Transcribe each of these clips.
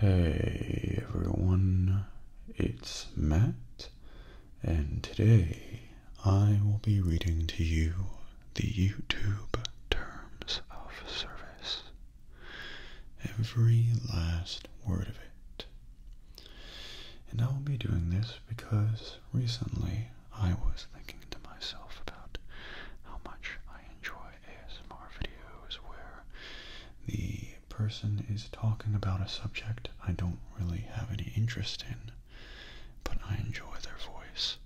Hey everyone, it's Matt, and today I will be reading to you the YouTube Terms of Service. Every last word of it. And I will be doing this because recently I was thinking to myself about how much I enjoy ASMR videos where the person is talking about a subject I don't really have any interest in, but I enjoy their voice.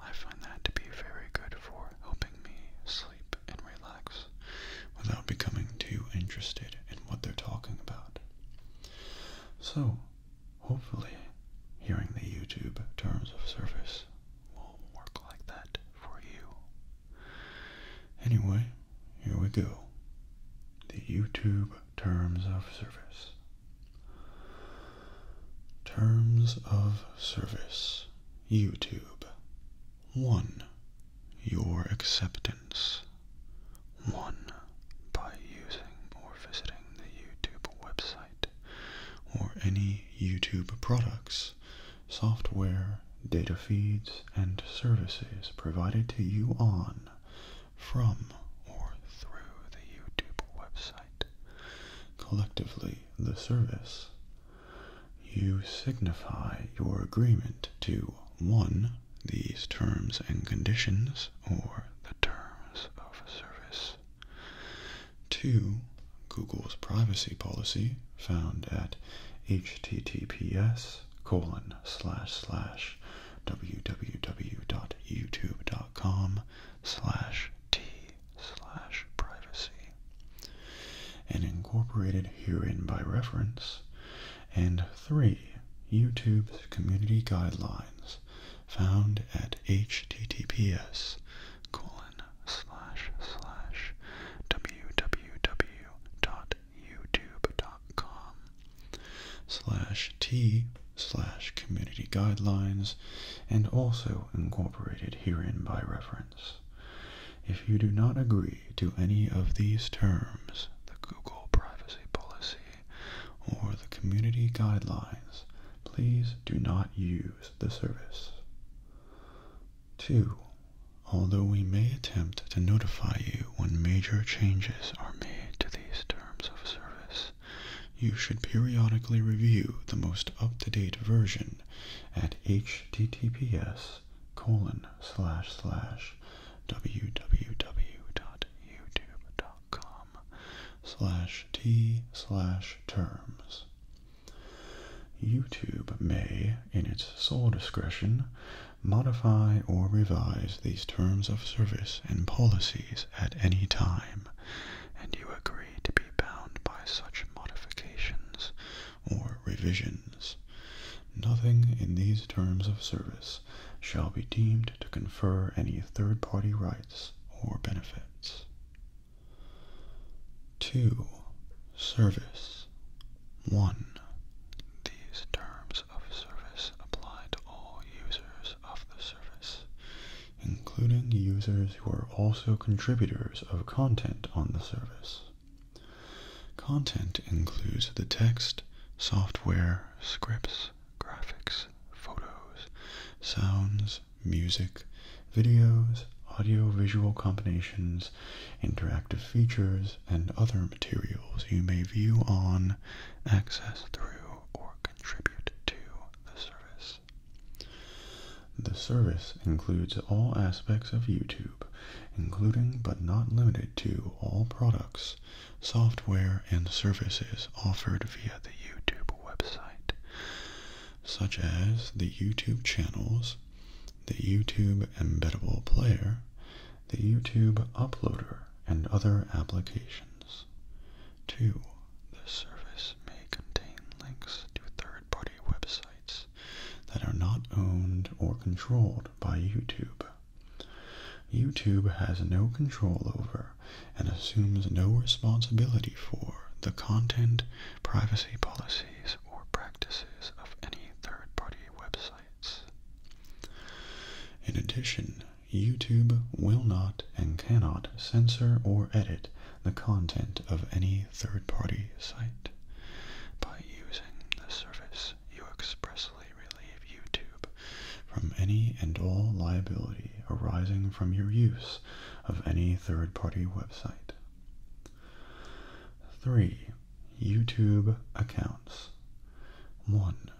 I find that to be very good for helping me sleep and relax without becoming too interested in what they're talking about. So, hopefully, hearing the YouTube terms of service will work like that for you. Anyway, here we go. The YouTube terms of service. Terms of Service YouTube one, your acceptance. One, by using or visiting the YouTube website or any YouTube products, software, data feeds, and services provided to you on, from, or through the YouTube website. Collectively, the service you signify your agreement to 1. These terms and conditions, or the terms of service. 2. Google's privacy policy found at https colon slash slash www.youtube.com slash t slash privacy and incorporated herein by reference, and 3. YouTube's community guidelines found at https colon slash slash www.youtube.com slash t slash community guidelines and also incorporated herein by reference if you do not agree to any of these terms, the Google privacy policy, or the community guidelines, please do not use the service. 2. Although we may attempt to notify you when major changes are made to these terms of service, you should periodically review the most up-to-date version at https colon slash slash www.youtube.com slash t slash terms. YouTube may, in its sole discretion, modify or revise these terms of service and policies at any time, and you agree to be bound by such modifications or revisions. Nothing in these terms of service shall be deemed to confer any third-party rights or benefits. 2. Service 1. These terms of service apply to all users of the service, including users who are also contributors of content on the service. Content includes the text, software, scripts, graphics, photos, sounds, music, videos, audio-visual combinations, interactive features, and other materials you may view on, access through, or contribute to the service. The service includes all aspects of YouTube, including but not limited to all products, software, and services offered via the YouTube website, such as the YouTube channels, the YouTube embeddable player, the YouTube uploader, and other applications. 2. The service may contain links to third-party websites that are not owned or controlled by YouTube. YouTube has no control over and assumes no responsibility for the content, privacy policies, or practices of any third party websites. In addition, YouTube will not and cannot censor or edit the content of any third-party site. By using the service, you expressly relieve YouTube from any and all liability arising from your use of any third-party website. 3. YouTube accounts. 1.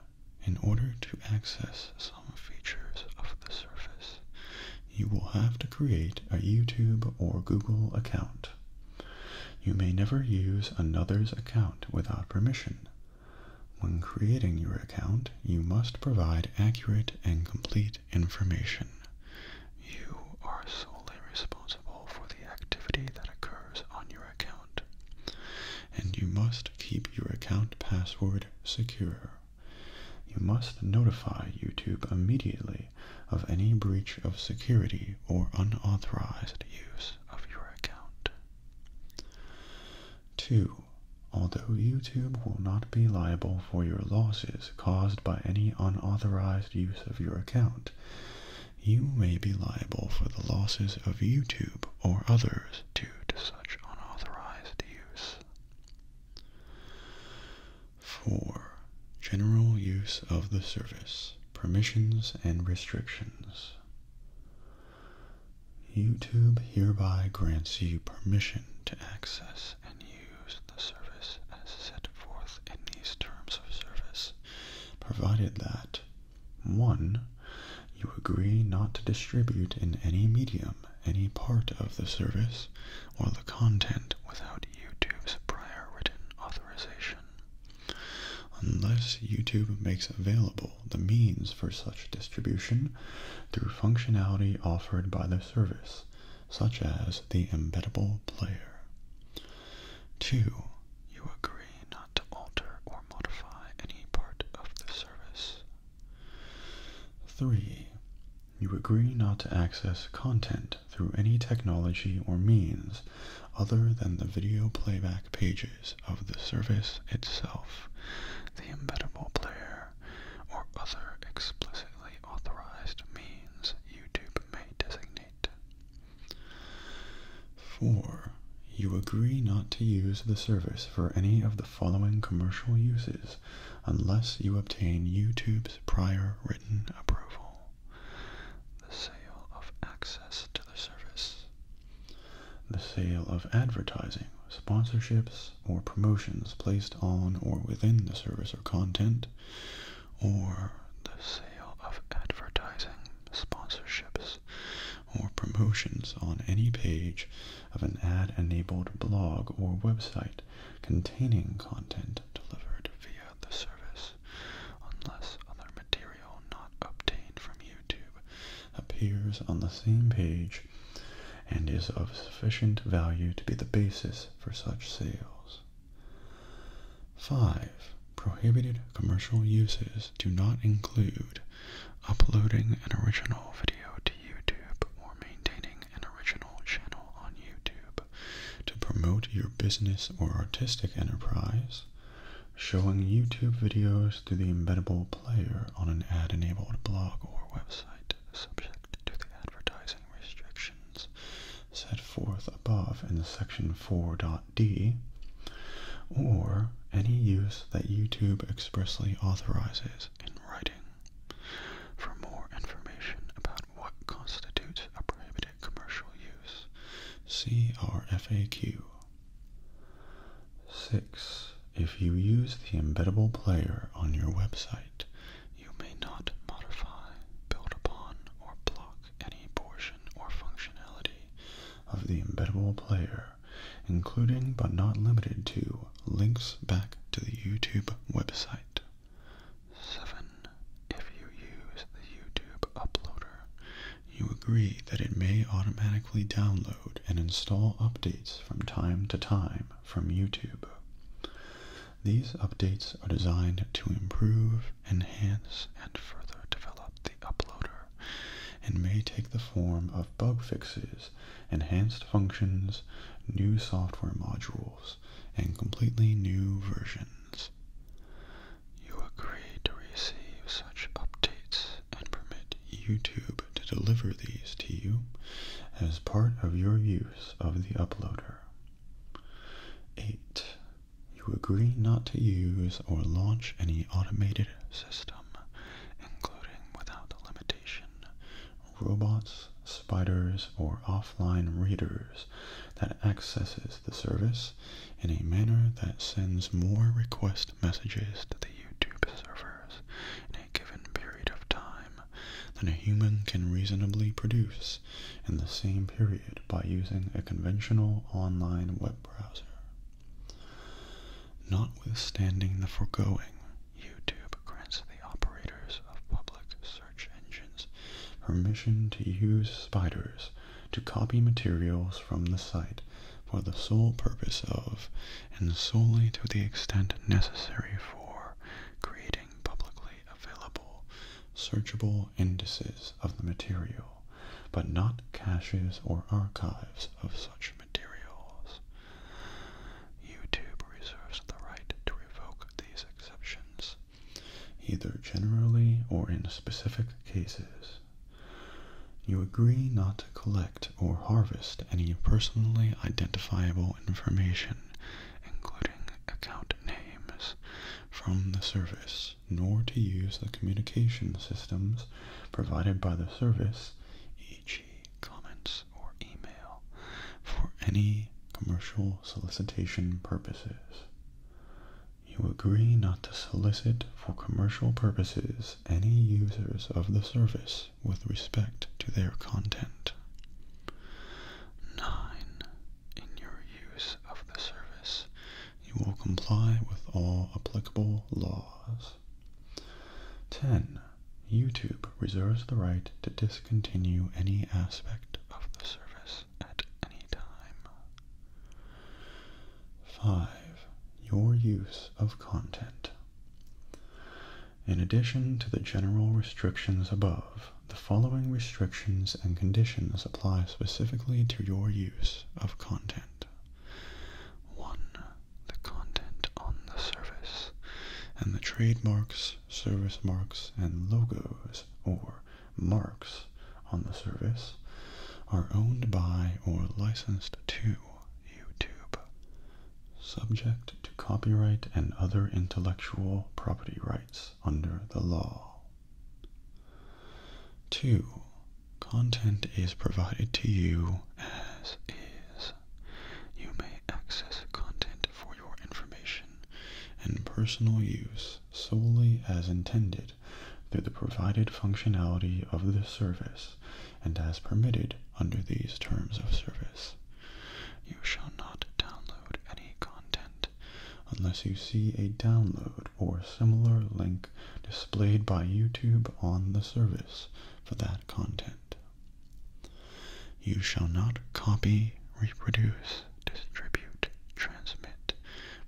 In order to access some features of the service, you will have to create a YouTube or Google account. You may never use another's account without permission. When creating your account, you must provide accurate and complete information. You are solely responsible for the activity that occurs on your account, and you must keep your account password secure. You must notify YouTube immediately of any breach of security or unauthorized use of your account. 2. Although YouTube will not be liable for your losses caused by any unauthorized use of your account, you may be liable for the losses of YouTube or others due to such unauthorized use. 4. General use of the service, permissions and restrictions. YouTube hereby grants you permission to access and use the service as set forth in these terms of service, provided that 1. You agree not to distribute in any medium any part of the service or the content without YouTube's prior written authorization, unless YouTube makes available the means for such distribution through functionality offered by the service, such as the embeddable player. 2. You agree not to alter or modify any part of the service. 3. You agree not to access content through any technology or means other than the video playback pages of the service itself, the embeddable player, or other explicitly authorized means YouTube may designate. 4. You agree not to use the service for any of the following commercial uses unless you obtain YouTube's prior written approval. The sale of access to the service. The sale of advertising, sponsorships, or promotions placed on or within the service or content, or the sale of advertising, sponsorships, or promotions on any page of an ad enabled blog or website containing content delivered via the service, unless other material not obtained from YouTube appears on the same page and is of sufficient value to be the basis for such sales. 5. Prohibited commercial uses do not include uploading an original video to YouTube or maintaining an original channel on YouTube, to promote your business or artistic enterprise, showing YouTube videos through the embeddable player on an ad enabled blog or website, subject to the advertising restrictions set forth above in the section 4.d, or any use that YouTube expressly authorizes in writing. For more information about what constitutes a prohibited commercial use, see our FAQ. 6. If you use the embeddable player on your website, you may not modify, build upon, or block any portion or functionality of the embeddable player, including but not limited to links back to the YouTube website. 7. If you use the YouTube uploader, you agree that it may automatically download and install updates from time to time from YouTube. These updates are designed to improve, enhance, and further develop the uploader and may take the form of bug fixes, enhanced functions, new software modules, and completely new versions. You agree to receive such updates and permit YouTube to deliver these to you as part of your use of the uploader. 8. You agree not to use or launch any automated system, including without limitation robots, spiders, or offline readers that accesses the service in a manner that sends more request messages to the YouTube servers in a given period of time than a human can reasonably produce in the same period by using a conventional online web browser. Notwithstanding the foregoing, YouTube grants the operators of public search engines permission to use spiders to copy materials from the site for the sole purpose of, and solely to the extent necessary for, creating publicly available, searchable indices of the material, but not caches or archives of such materials. YouTube reserves the right to revoke these exceptions, either generally or in specific cases. You agree not to collect or harvest any personally identifiable information, including account names, from the service, nor to use the communication systems provided by the service, e.g., comments or email for any commercial solicitation purposes. You agree not to solicit for commercial purposes any users of the service with respect to their content. 9. In your use of the service, you will comply with all applicable laws. 10. YouTube reserves the right to discontinue any aspect of the service at any time. 5. Your use of content. In addition to the general restrictions above, the following restrictions and conditions apply specifically to your use of content. 1. The content on the service and the trademarks service marks and logos or marks on the service are owned by or licensed to YouTube, subject to copyright and other intellectual property rights under the law. 2. Content is provided to you as is. You may access content for your information and personal use solely as intended through the provided functionality of the service and as permitted under these terms of service. You shall not download any content unless you see a download or similar link displayed by YouTube on the service for that content. You shall not copy, reproduce, distribute, transmit,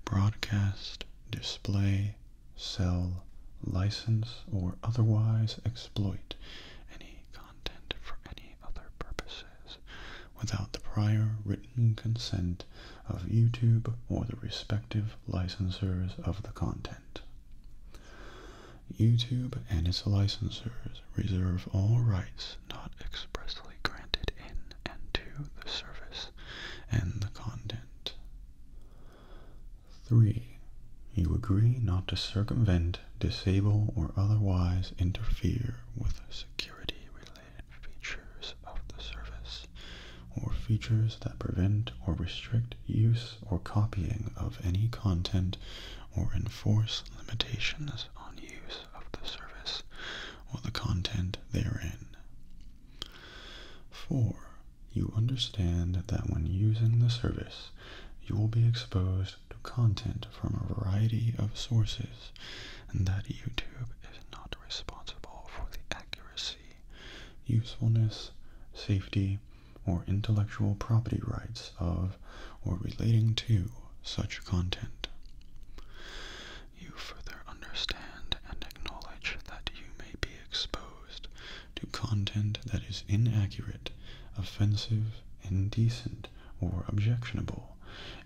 broadcast, display, sell, license, or otherwise exploit any content for any other purposes without the prior written consent of YouTube or the respective licensors of the content. YouTube and its licensors reserve all rights not expressly granted in and to the service and the content. 3. You agree not to circumvent, disable, or otherwise interfere with security-related features of the service or features that prevent or restrict use or copying of any content or enforce limitations on use of the service or the content therein. 4. You understand that when using the service, you will be exposed to content from a variety of sources and that YouTube is not responsible for the accuracy, usefulness, safety, or intellectual property rights of or relating to such content. You further understand and acknowledge that you may be exposed to content that is inaccurate, offensive, indecent, or objectionable,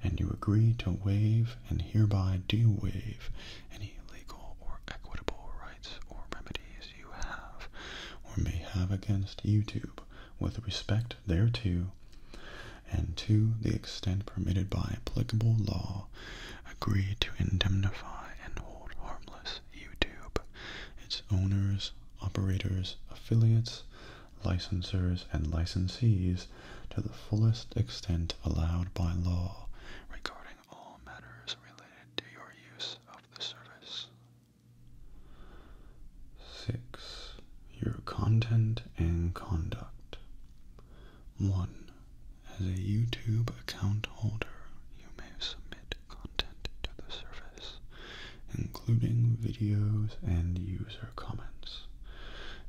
and you agree to waive and hereby do waive any legal or equitable rights or remedies you have or may have against YouTube with respect thereto, and to the extent permitted by applicable law, agree to indemnify and hold harmless YouTube, its owners, operators, affiliates, licensors, and licensees to the fullest extent allowed by law regarding all matters related to your use of the service. 6. Your content and conduct. 1. As a YouTube account holder, you may submit content to the service, including videos and user comments.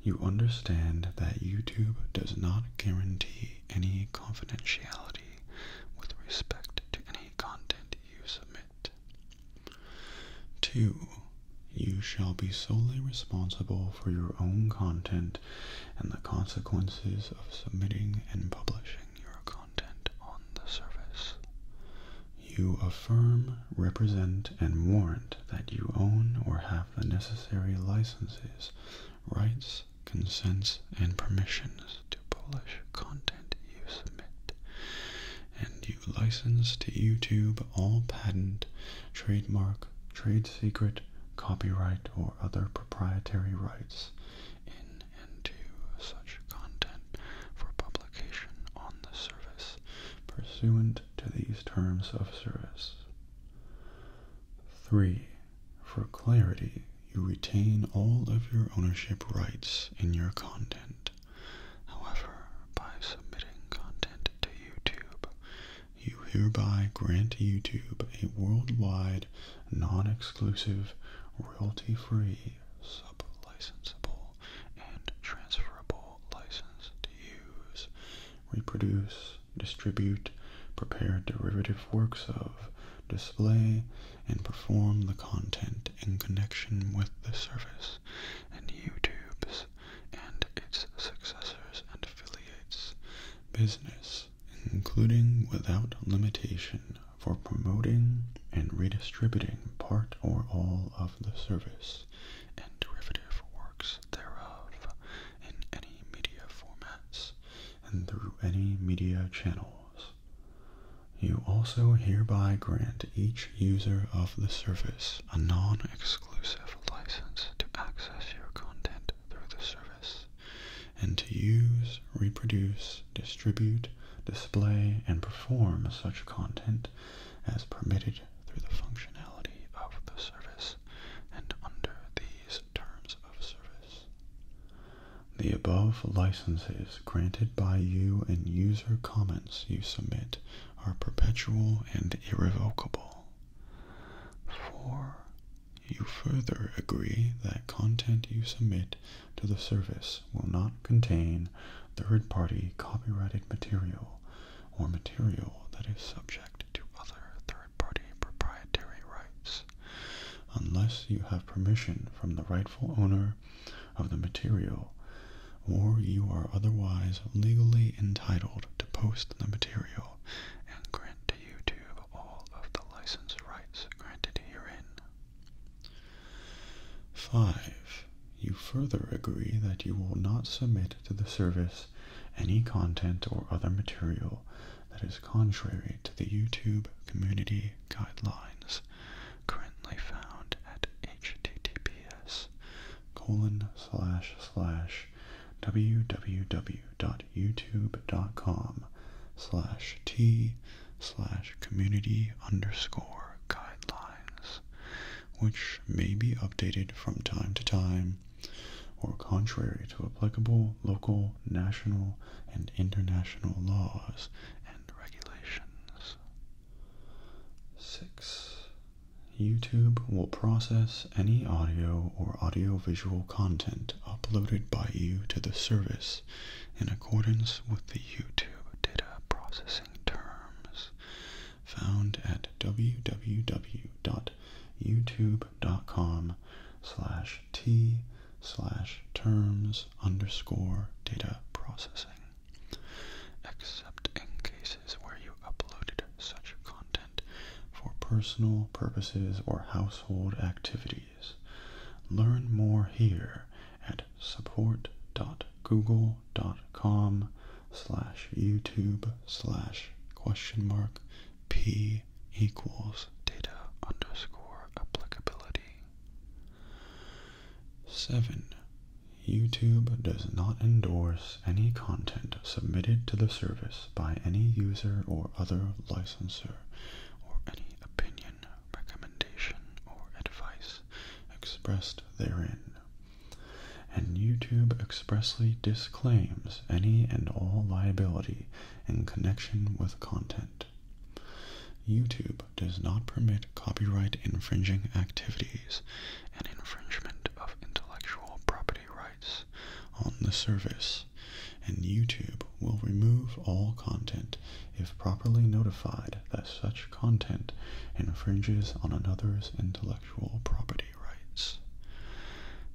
You understand that YouTube does not guarantee any confidentiality with respect to any content you submit. Two, you shall be solely responsible for your own content and the consequences of submitting and publishing your content on the service. You affirm, represent, and warrant that you own or have the necessary licenses, rights, consents, and permissions to polish content you submit, and you license to YouTube all patent, trademark, trade secret, copyright, or other proprietary rights in and to such content for publication on the service pursuant to these terms of service. 3. For clarity, you retain all of your ownership rights in your content. However, by submitting content to YouTube, you hereby grant YouTube a worldwide, non-exclusive, royalty-free, sub-licensable, and transferable license to use, reproduce, distribute, prepare derivative works of, display, and perform the content in connection with the service, and YouTube's and its successors and affiliates business, including without limitation for promoting and redistributing part or all of the service and derivative works thereof in any media formats and through any media channels you also hereby grant each user of the service a non-exclusive license to access your content through the service and to use, reproduce, distribute, display, and perform such content as permitted through the functionality of the service and under these terms of service. The above licenses granted by you and user comments you submit are perpetual and irrevocable. 4. You further agree that content you submit to the service will not contain third-party copyrighted material or material that is subject to other third-party proprietary rights unless you have permission from the rightful owner of the material, or you are otherwise legally entitled to post the material and grant to YouTube all of the license rights granted herein. 5. You further agree that you will not submit to the service any content or other material that is contrary to the YouTube community guidelines currently found at https colon slash slash www.youtube.com slash t slash community underscore guidelines which may be updated from time to time or contrary to applicable local national and international laws and regulations. 6. YouTube will process any audio or audiovisual content uploaded by you to the service in accordance with the YouTube data processing terms found at www.youtube.com slash t slash terms underscore data processing, except in cases where you uploaded such content for personal purposes or household activities. Learn more here at support.google.com slash YouTube slash question mark P equals data underscore applicability 7. YouTube does not endorse any content submitted to the service by any user or other licensor or any opinion, recommendation, or advice expressed therein. And YouTube expressly disclaims any and all liability in connection with content YouTube does not permit copyright infringing activities and infringement of intellectual property rights on the service, and YouTube will remove all content if properly notified that such content infringes on another's intellectual property rights.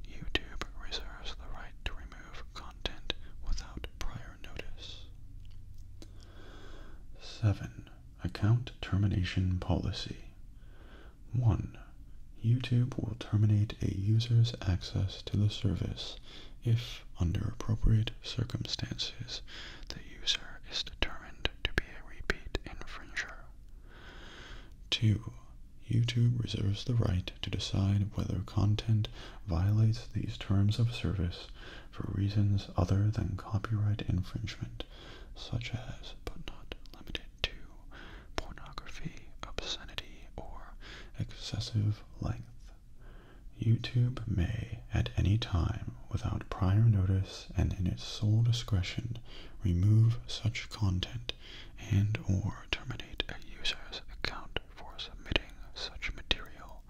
YouTube reserves the right to remove content without prior notice. 7. Account termination policy. 1. YouTube will terminate a user's access to the service if, under appropriate circumstances, the user is determined to be a repeat infringer. 2. YouTube reserves the right to decide whether content violates these terms of service for reasons other than copyright infringement, such as, but not limited to, pornography, obscenity, or excessive length. YouTube may, at any time, without prior notice and in its sole discretion, remove such content and or terminate a user's account for submitting such material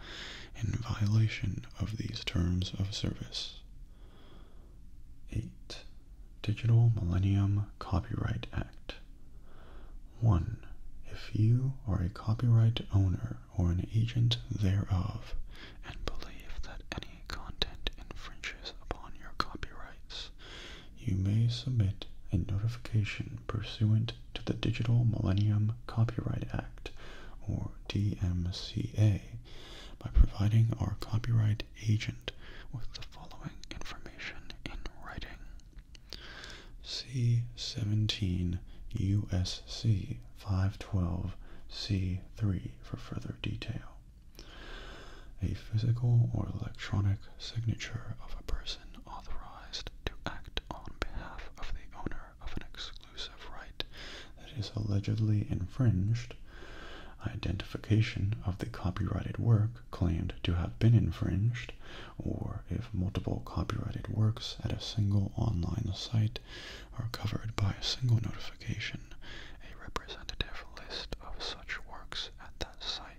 in violation of these terms of service. 8. Digital Millennium Copyright Act. 1. If you are a copyright owner or an agent thereof and believe that any content infringes upon your copyrights, you may submit a notification pursuant to the Digital Millennium Copyright Act, or DMCA, by providing our copyright agent with the following information in writing. C17 USC 512 C3 for further detail. A physical or electronic signature of a person authorized to act on behalf of the owner of an exclusive right that is allegedly infringed, identification of the copyrighted work claimed to have been infringed, or if multiple copyrighted works at a single online site are covered by a single notification, a representative list of such works at that site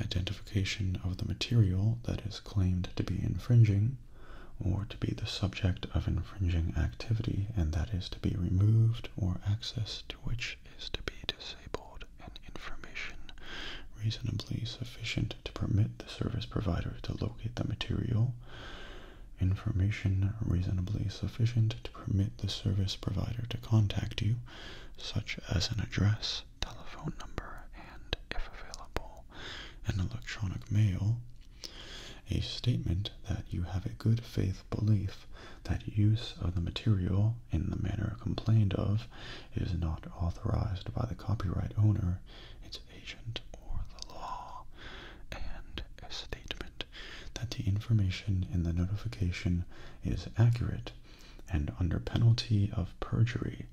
Identification of the material that is claimed to be infringing or to be the subject of infringing activity and that is to be removed or access to which is to be disabled and information reasonably sufficient to permit the service provider to locate the material information reasonably sufficient to permit the service provider to contact you such as an address telephone number, and, if available, an electronic mail, a statement that you have a good faith belief that use of the material in the manner complained of is not authorized by the copyright owner, its agent, or the law, and a statement that the information in the notification is accurate and under penalty of perjury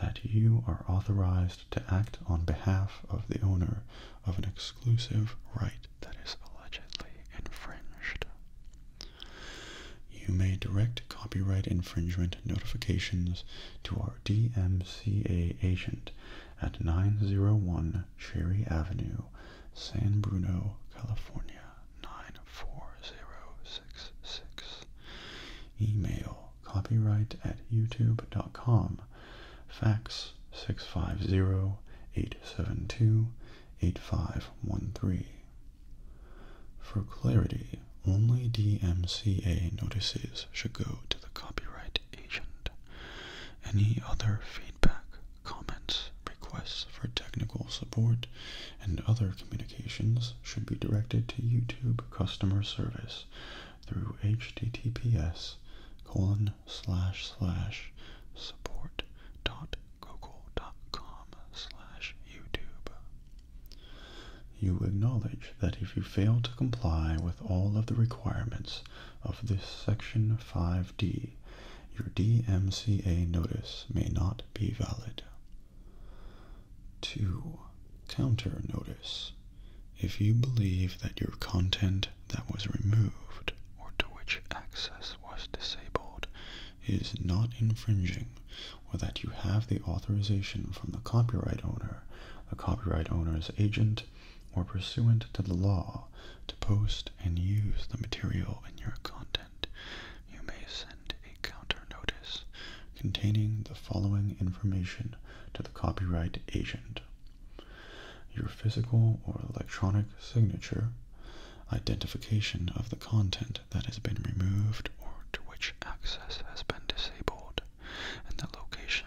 that you are authorized to act on behalf of the owner of an exclusive right that is allegedly infringed. You may direct copyright infringement notifications to our DMCA agent at 901 Cherry Avenue, San Bruno, California nine four zero six six. Email copyright at youtube.com. Fax 650-872-8513. For clarity, only DMCA notices should go to the copyright agent. Any other feedback, comments, requests for technical support and other communications should be directed to YouTube customer service through https colon slash slash support dot google.com slash YouTube. You acknowledge that if you fail to comply with all of the requirements of this Section 5D, your DMCA notice may not be valid. 2. Counter notice. If you believe that your content that was removed or to which access was disabled is not infringing or that you have the authorization from the copyright owner, a copyright owner's agent, or pursuant to the law to post and use the material in your content, you may send a counter notice containing the following information to the copyright agent your physical or electronic signature, identification of the content that has been removed or to which access has been disabled, and the location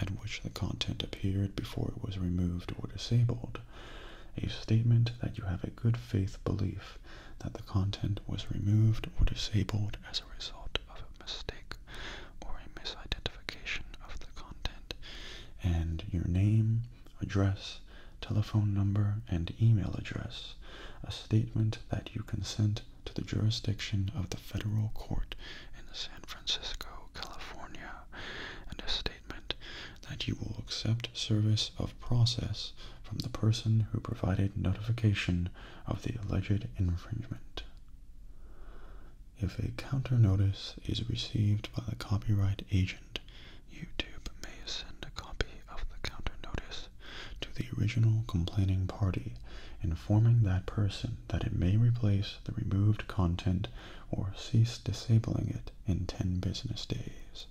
at which the content appeared before it was removed or disabled. A statement that you have a good faith belief that the content was removed or disabled as a result of a mistake or a misidentification of the content, and your name, address, telephone number, and email address, a statement that you consent to the jurisdiction of the federal court in San Francisco, California, and a statement that you will accept service of process from the person who provided notification of the alleged infringement. If a counter notice is received by the copyright agent, YouTube may send a copy of the counter notice to the original complaining party, informing that person that it may replace the removed content or cease disabling it in 10 business days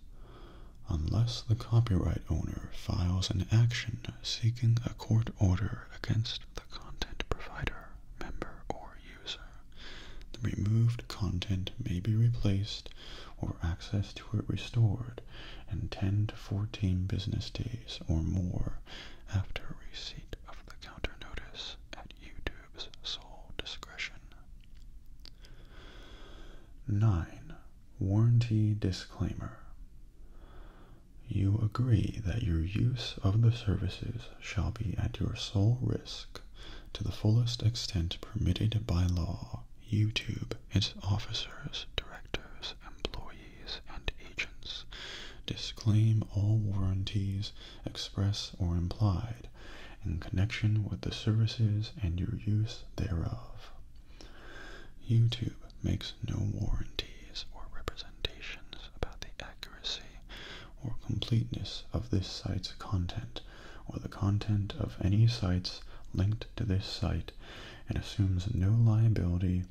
unless the copyright owner files an action seeking a court order against the content provider, member, or user. The removed content may be replaced or access to it restored in 10 to 14 business days or more after receipt of the counter notice at YouTube's sole discretion. 9. Warranty disclaimer. You agree that your use of the services shall be at your sole risk to the fullest extent permitted by law. YouTube, its officers, directors, employees, and agents disclaim all warranties, express or implied, in connection with the services and your use thereof. YouTube makes no warranties or representations about the accuracy or completeness of this site's content or the content of any sites linked to this site and assumes no liability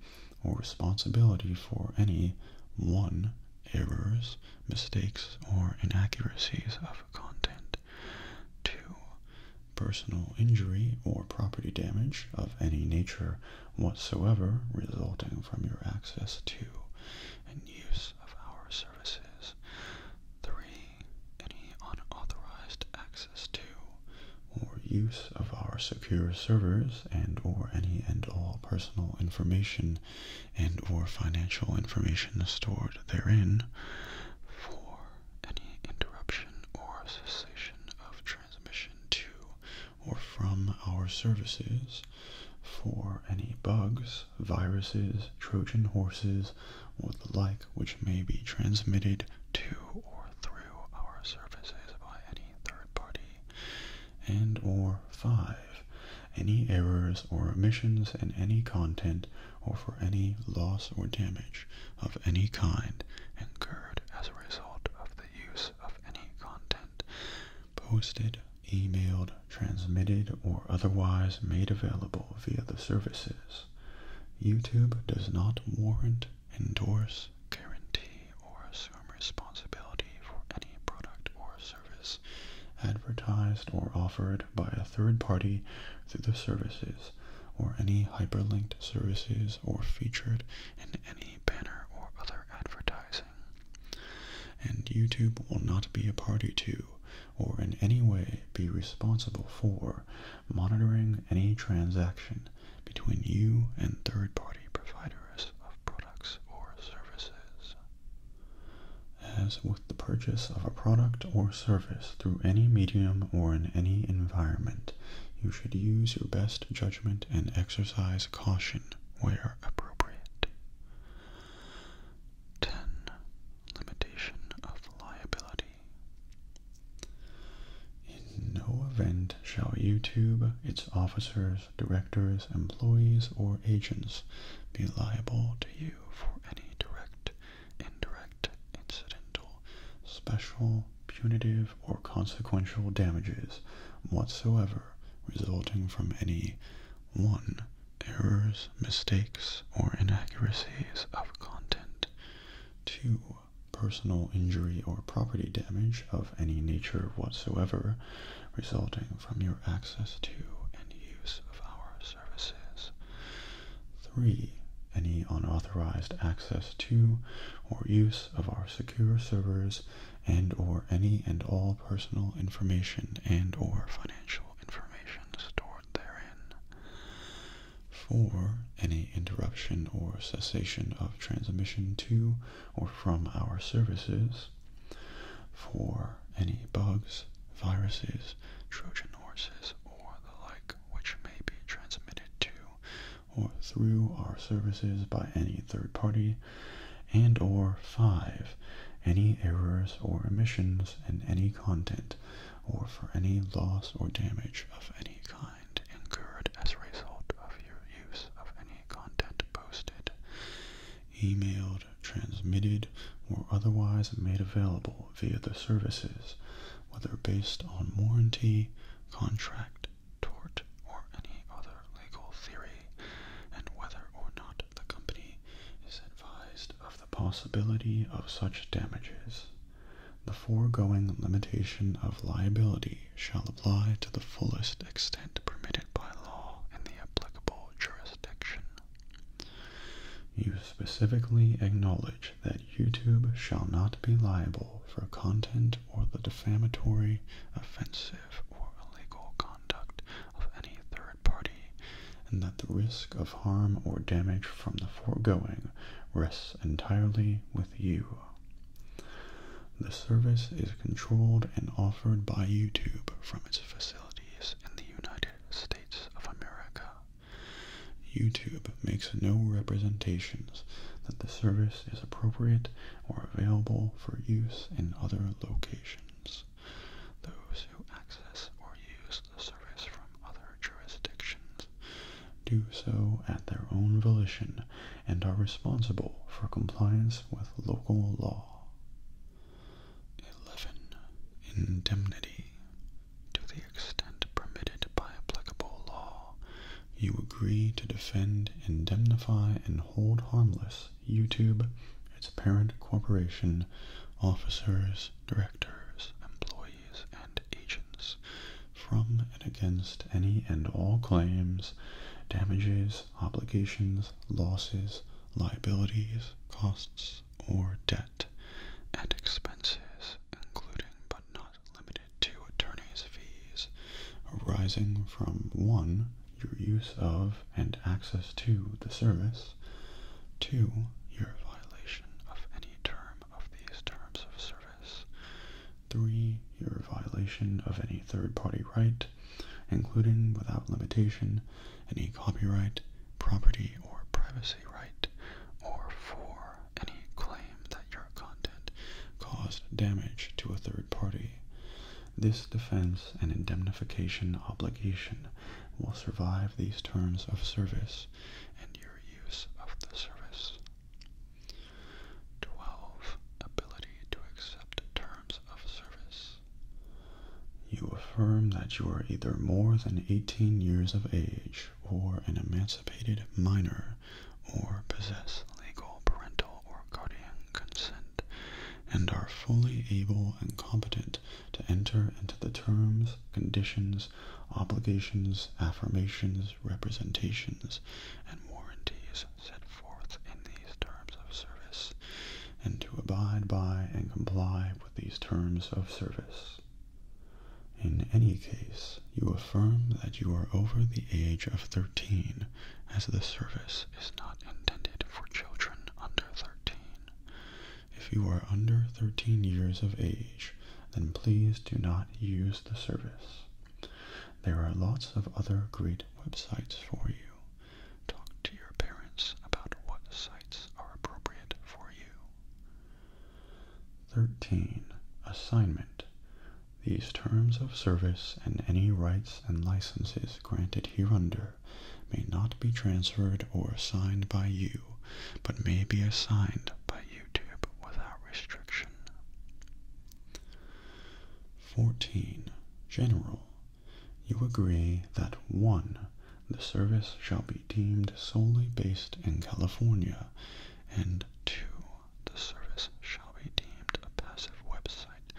or responsibility for any 1. errors, mistakes, or inaccuracies of content. 2. Personal injury or property damage of any nature whatsoever resulting from your access to and use of our services. 3. Any unauthorized access to or use of our secure servers and or any and all personal information and or financial information stored therein. 4 any interruption or cessation of transmission to or from our services for any bugs, viruses, Trojan horses, or the like which may be transmitted to or through our services by any third party. And or 5. Any errors or omissions in any content or for any loss or damage of any kind incurred as a result of the use of any content posted, emailed, transmitted, or otherwise made available via the services. YouTube does not warrant, endorse, guarantee, or assume responsibility for any product or service advertised or offered by a third party through the services or any hyperlinked services or featured in any banner or other advertising. And YouTube will not be a party to or in any way be responsible for monitoring any transaction between you and third-party providers of products or services. As with the purchase of a product or service through any medium or in any environment, you should use your best judgment and exercise caution where appropriate. 10. Limitation of liability. In no event shall YouTube, its officers, directors, employees, or agents be liable to you for any direct indirect, incidental, special, punitive, or consequential damages whatsoever resulting from any 1. Errors, mistakes, or inaccuracies of content. to Personal injury or property damage of any nature whatsoever resulting from your access to and use of ours services. 3. Any unauthorized access to or use of our secure servers and or any and all personal information and or financial information stored therein. 4. Any interruption or cessation of transmission to or from our services. 4. Any bugs, viruses, Trojan horses, or the like, which may be transmitted to or through our services by any third party, and or 5. Any errors or omissions in any content, or for any loss or damage of any kind incurred as a result of your use of any content posted, emailed, transmitted, or otherwise made available via the services, whether based on warranty, contract, tort, or any other legal theory, and whether or not the company is advised of the possibility of such damages. The foregoing limitation of liability shall apply to the fullest extent permitted by law in the applicable jurisdiction. You specifically acknowledge that YouTube shall not be liable for content or the defamatory, offensive, or illegal conduct of any third party, and that the risk of harm or damage from the foregoing rests entirely with you. The service is controlled and offered by YouTube from its facilities in the United States of America. YouTube makes no representations that the service is appropriate or available for use in other locations. Those who access or use the service from other jurisdictions do so at their own volition and are responsible for compliance with local law. 11. Indemnity. To the extent permitted by applicable law, you agree to defend, indemnify, and hold harmless YouTube, its parent corporation, officers, directors, employees, and agents from and against any and all claims, damages, obligations, losses, liabilities, costs, or debt, and expenses, including but not limited to attorney's fees, arising from 1. Your use of and access to the service, 2. Your violation of any term of these terms of service, 3. Your violation of any third party right, including without limitation any copyright, property, or privacy right, or for any claim that your content caused damage to a third party. This defense and indemnification obligation will survive these terms of service and your use of the service. 12. Ability to accept terms of service. You affirm that you are either more than 18 years of age or an emancipated minor or possess legal parental or guardian consent and are fully able and competent to enter into the terms, conditions, obligations, affirmations, representations, and warranties set forth in these terms of service and to abide by and comply with these terms of service. In any case, you affirm that you are over the age of 13, as the service is not intended for children under 13. If you are under 13 years of age, then please do not use the service. There are lots of other great websites for you, Talk to your parents about what sites are appropriate for you. 13. Assignment. These terms of service and any rights and licenses granted hereunder may not be transferred or assigned by you, but may be assigned by YouTube without restriction. 14. General you agree that 1. The service shall be deemed solely based in California, and 2. The service shall be deemed a passive website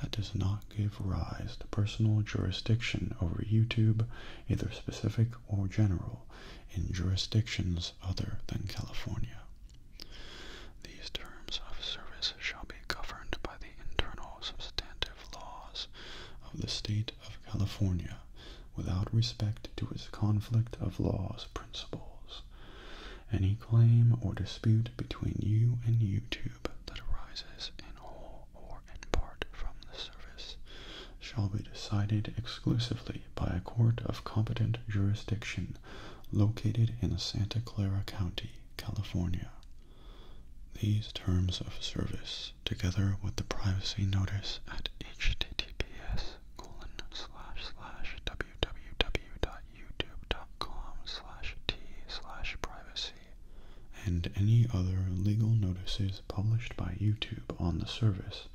that does not give rise to personal jurisdiction over YouTube, either specific or general, in jurisdictions other than California. These terms of service shall be governed by the internal substantive laws of the state of California without respect to its conflict of laws principles. Any claim or dispute between you and YouTube that arises in whole or in part from the service shall be decided exclusively by a court of competent jurisdiction located in Santa Clara County, California. These terms of service, together with the privacy notice at https www.youtube.com t privacy, and any other legal notices published by YouTube on the service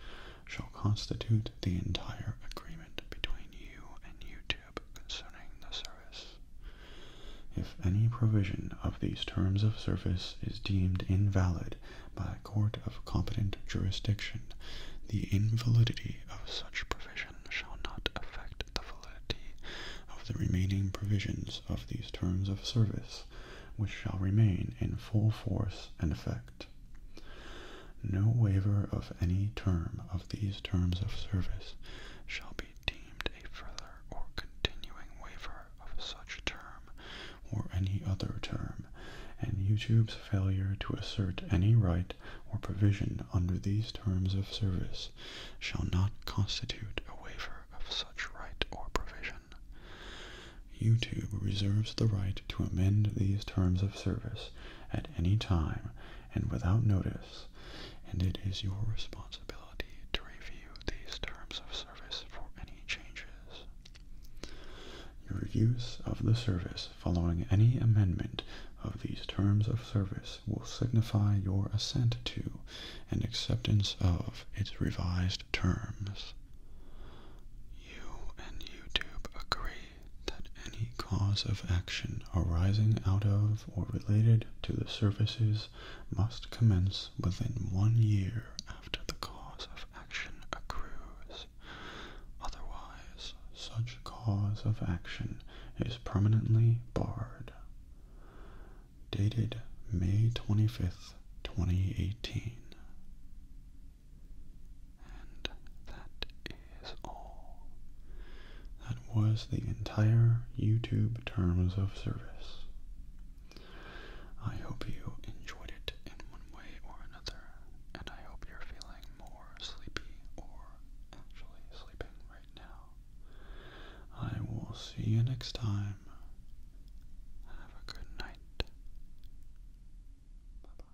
shall constitute the entire agreement between you and YouTube concerning the service. If any provision of these terms of service is deemed invalid by a court of competent jurisdiction, the invalidity of such provision shall not affect the validity of the remaining provisions of these terms of service, which shall remain in full force and effect. No waiver of any term of these terms of service shall be deemed a further or continuing waiver of such term or any other term, and YouTube's failure to assert any right or provision under these terms of service shall not constitute a waiver of such right or provision. YouTube reserves the right to amend these terms of service at any time and without notice, and it is your responsibility to review these terms of service for any changes. Your use of the service following any amendment of these terms of service will signify your assent to and acceptance of its revised terms. You and YouTube agree that any cause of action arising out of or related to the services must commence within one year after the cause of action accrues. Otherwise, such cause of action is permanently barred. Dated May 25th, 2018. And that is all. That was the entire YouTube Terms of Service. I hope you enjoyed it in one way or another, and I hope you're feeling more sleepy or actually sleeping right now. I will see you next time. Have a good night. Bye bye.